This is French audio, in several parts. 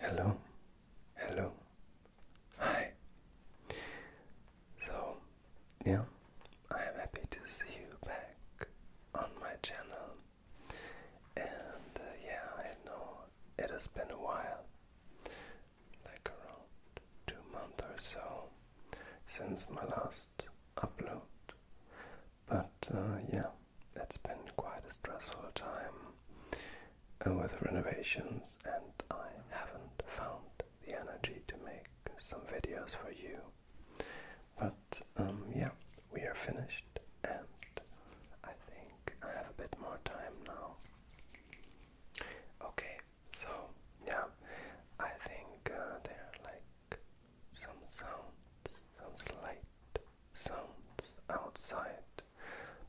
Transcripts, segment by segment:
Hello, hello, hi. So, yeah, I am happy to see you back on my channel. And uh, yeah, I know it has been a while, like around two months or so, since my last upload. But uh, yeah, it's been quite a stressful time and with renovations, and I haven't found the energy to make some videos for you. But um, yeah, we are finished, and I think I have a bit more time now. Okay, so yeah, I think uh, there are like some sounds, some slight sounds outside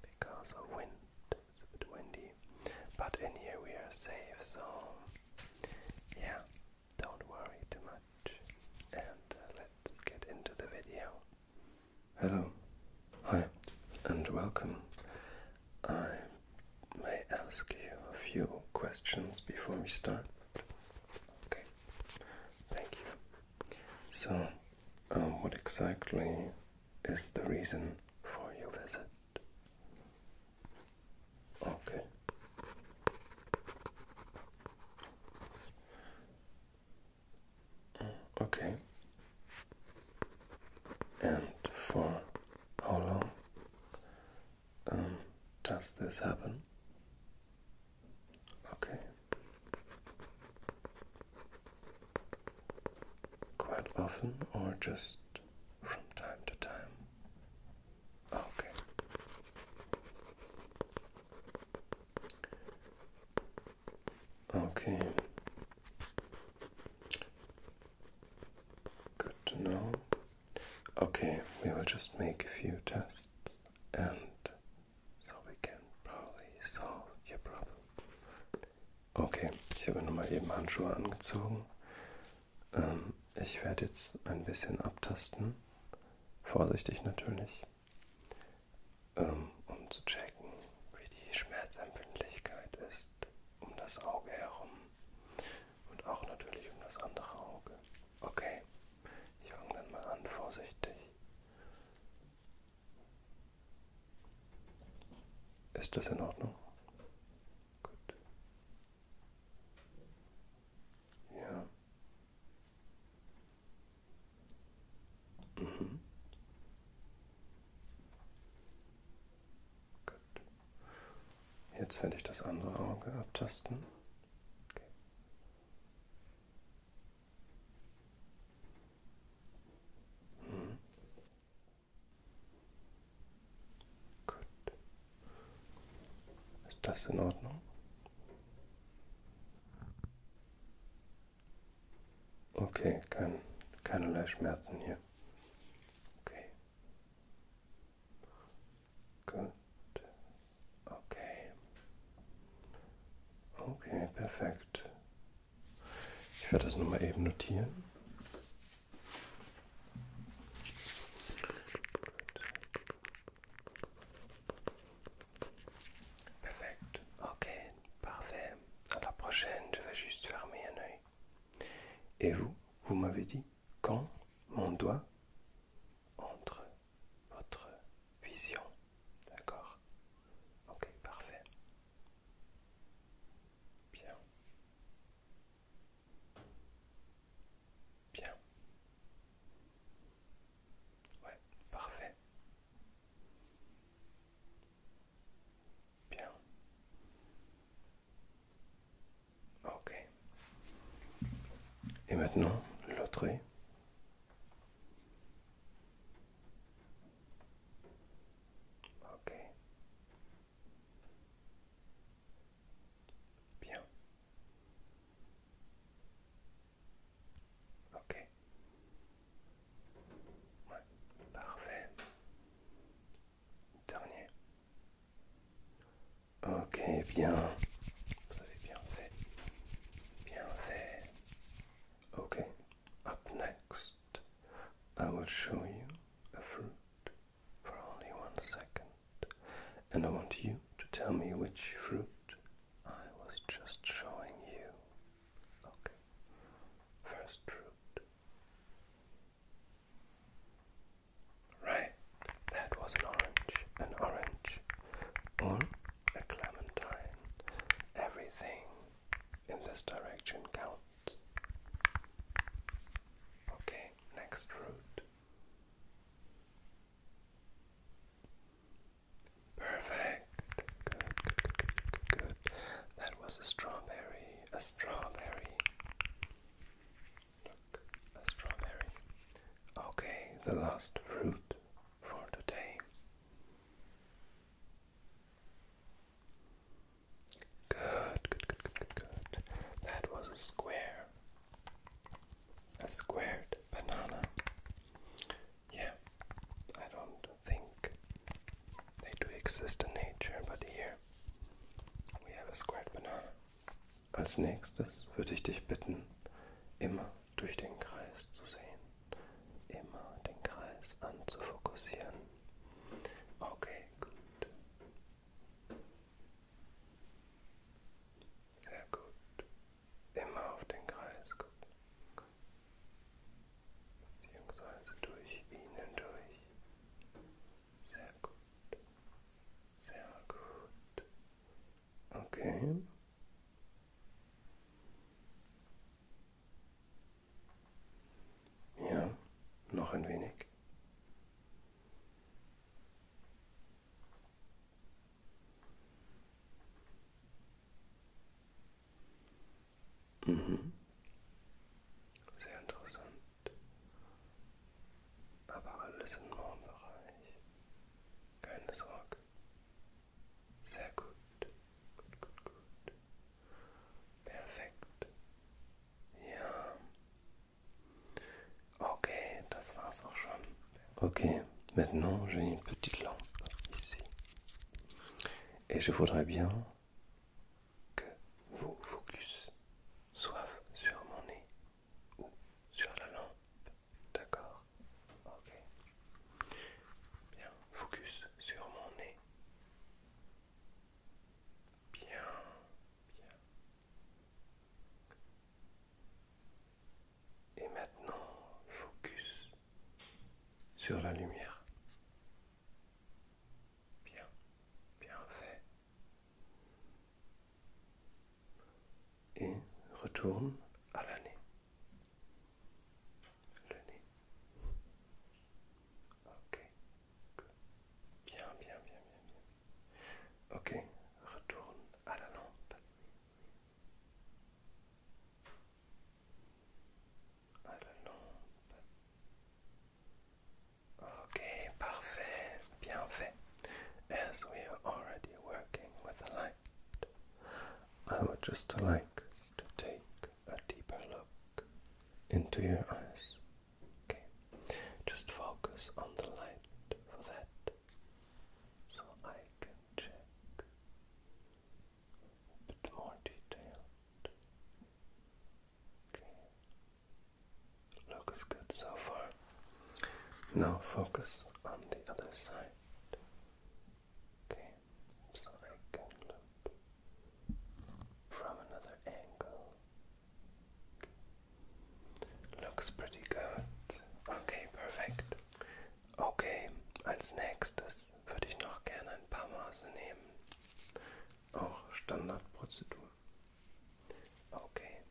because of wind. It's a bit windy, but in here we are safe, so yeah, don't worry too much. And uh, let's get into the video. Hello, hi, and welcome. I may ask you a few questions before we start. Okay, thank you. So, Oh, what exactly is the reason for your visit? Okay. Okay. And for how long um, does this happen? Okay. Quite often or just from time to time? Okay. Okay. Good to know. Okay, we will just make a few tests and So we can probably solve your problem. Okay, ich habe nochmal eben Handschuhe angezogen. Ähm, ich werde jetzt ein bisschen abtasten. Vorsichtig natürlich. Ähm, um zu checken, wie die Schmerzempfindlichkeit ist um das Auge herum. Und auch natürlich um das andere Auge. Okay, ich fange dann mal an, vorsichtig. Ist das in Ordnung? Gut. Ja. Mhm. Gut. Jetzt werde ich das andere Auge abtasten. Okay. Hm. Gut. Ist das in Ordnung? Okay, kein, keinerlei Schmerzen hier. Okay. Gut. Okay. ok, parfait je vais ça noter Parfait. Ok, parfait. À la prochaine, je vais juste fermer un œil. Et vous, vous m'avez dit quand mon doigt entre votre vision. D'accord Ok, parfait. Bien. Bien. Ouais, parfait. Bien. Ok. Et maintenant, l'autre œil. Ok. Bien. Ok. Parfait. Dernier. Ok, bien. Vous avez bien fait. Bien fait. Okay, up next I will show you a fruit for only one second, and I want you to tell me which fruit I was just showing you. Okay, first fruit. Right, that was an orange, an orange, or a clementine. Everything in this direction counts. Okay, next fruit. Perfect. Good, good, good, good, That was a strawberry. A strawberry. Look, a strawberry. Okay, the last fruit for today Good, good, good, good, good, good. That was a square. A squared banana. Yeah, I don't think they do exist in nature, but here we have a squared banana. Als nächstes würde ich dich bitten, immer durch den Kreis zu sehen. Immer den Kreis anzufokussieren. Okay, gut. Sehr gut. Immer auf den Kreis gucken. Beziehungsweise durch ihn hindurch. Sehr gut. Sehr gut. Okay. Ja, noch ein wenig. Mhm. Sehr interessant. Aber alles im Normbereich. Keine Sorge. Ça coûte, good, good, good, Perfect. ok, ça ça ça ok, maintenant j'ai une petite lampe ici, et je voudrais bien que vos focus soient sur mon nez ou sur la lampe. D'accord Ok. Bien, focus sur mon nez. Bien, bien. Et maintenant, focus sur la lumière. Bien, bien fait et retourne à la nez. Le nez. Ok. Bien, bien, bien, bien, bien. Ok, retourne à la lampe. À la lampe. Ok, parfait, bien fait. As we are already working with the light. I would just like to take a deeper look into your eyes. just focus on the light for that so I can check a bit more detailed. Okay, looks good so far. Now focus on the other side. Okay, so I can look from another angle. Okay. Looks pretty good. Okay, perfekt. Okay, als nächstes würde ich noch gerne ein paar Maße nehmen. Auch oh, Standardprozedur. Okay.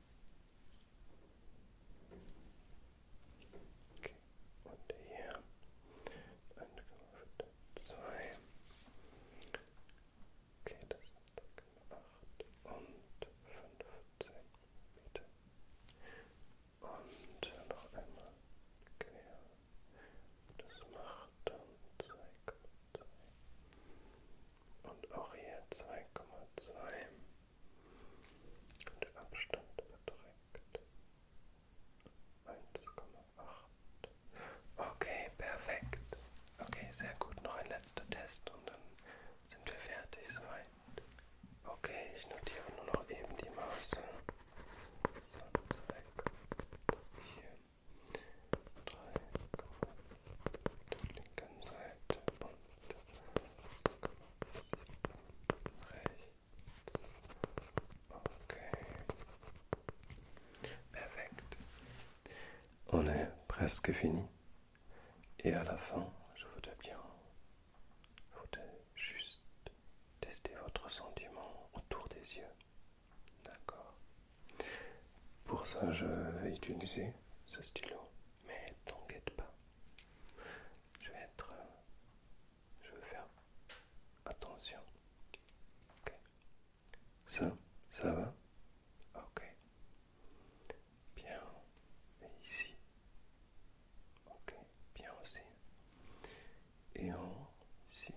Okay. Und hier Ankunft 2. Okay, das sind 8 und 15 Meter. Und noch einmal quer. Das macht dann 2,2. Und auch hier 2,2. Und der Abstand beträgt 1,8. Okay, perfekt. Okay, sehr gut. Noch ein letzter Test und dann sind wir fertig soweit. Okay, ich notiere nur noch eben die Maße. So, weg. Hier. 3, auf der linken Seite und 6,8. On est presque fini. Et à la fin, je voudrais bien je juste tester votre sentiment autour des yeux. D'accord. Pour ça, je vais utiliser ce stylo mais t'inquiète pas. Je vais être. Euh, je vais faire attention. Ok. Ça, ça va Ok. Bien. Et ici. Ok. Bien aussi. Et en ici.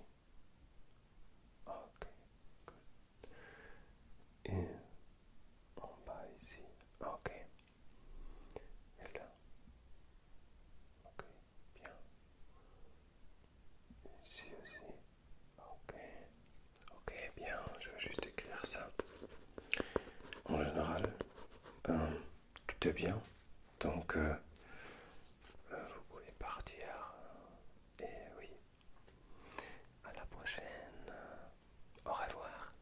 Ok. Good. Et en bas ici. Ok. Ok, bien. aussi. Ok. Ok, bien. Je vais juste écrire ça. En général, euh, tout est bien. Donc, euh, euh, vous pouvez partir. Et oui. À la prochaine. Au revoir.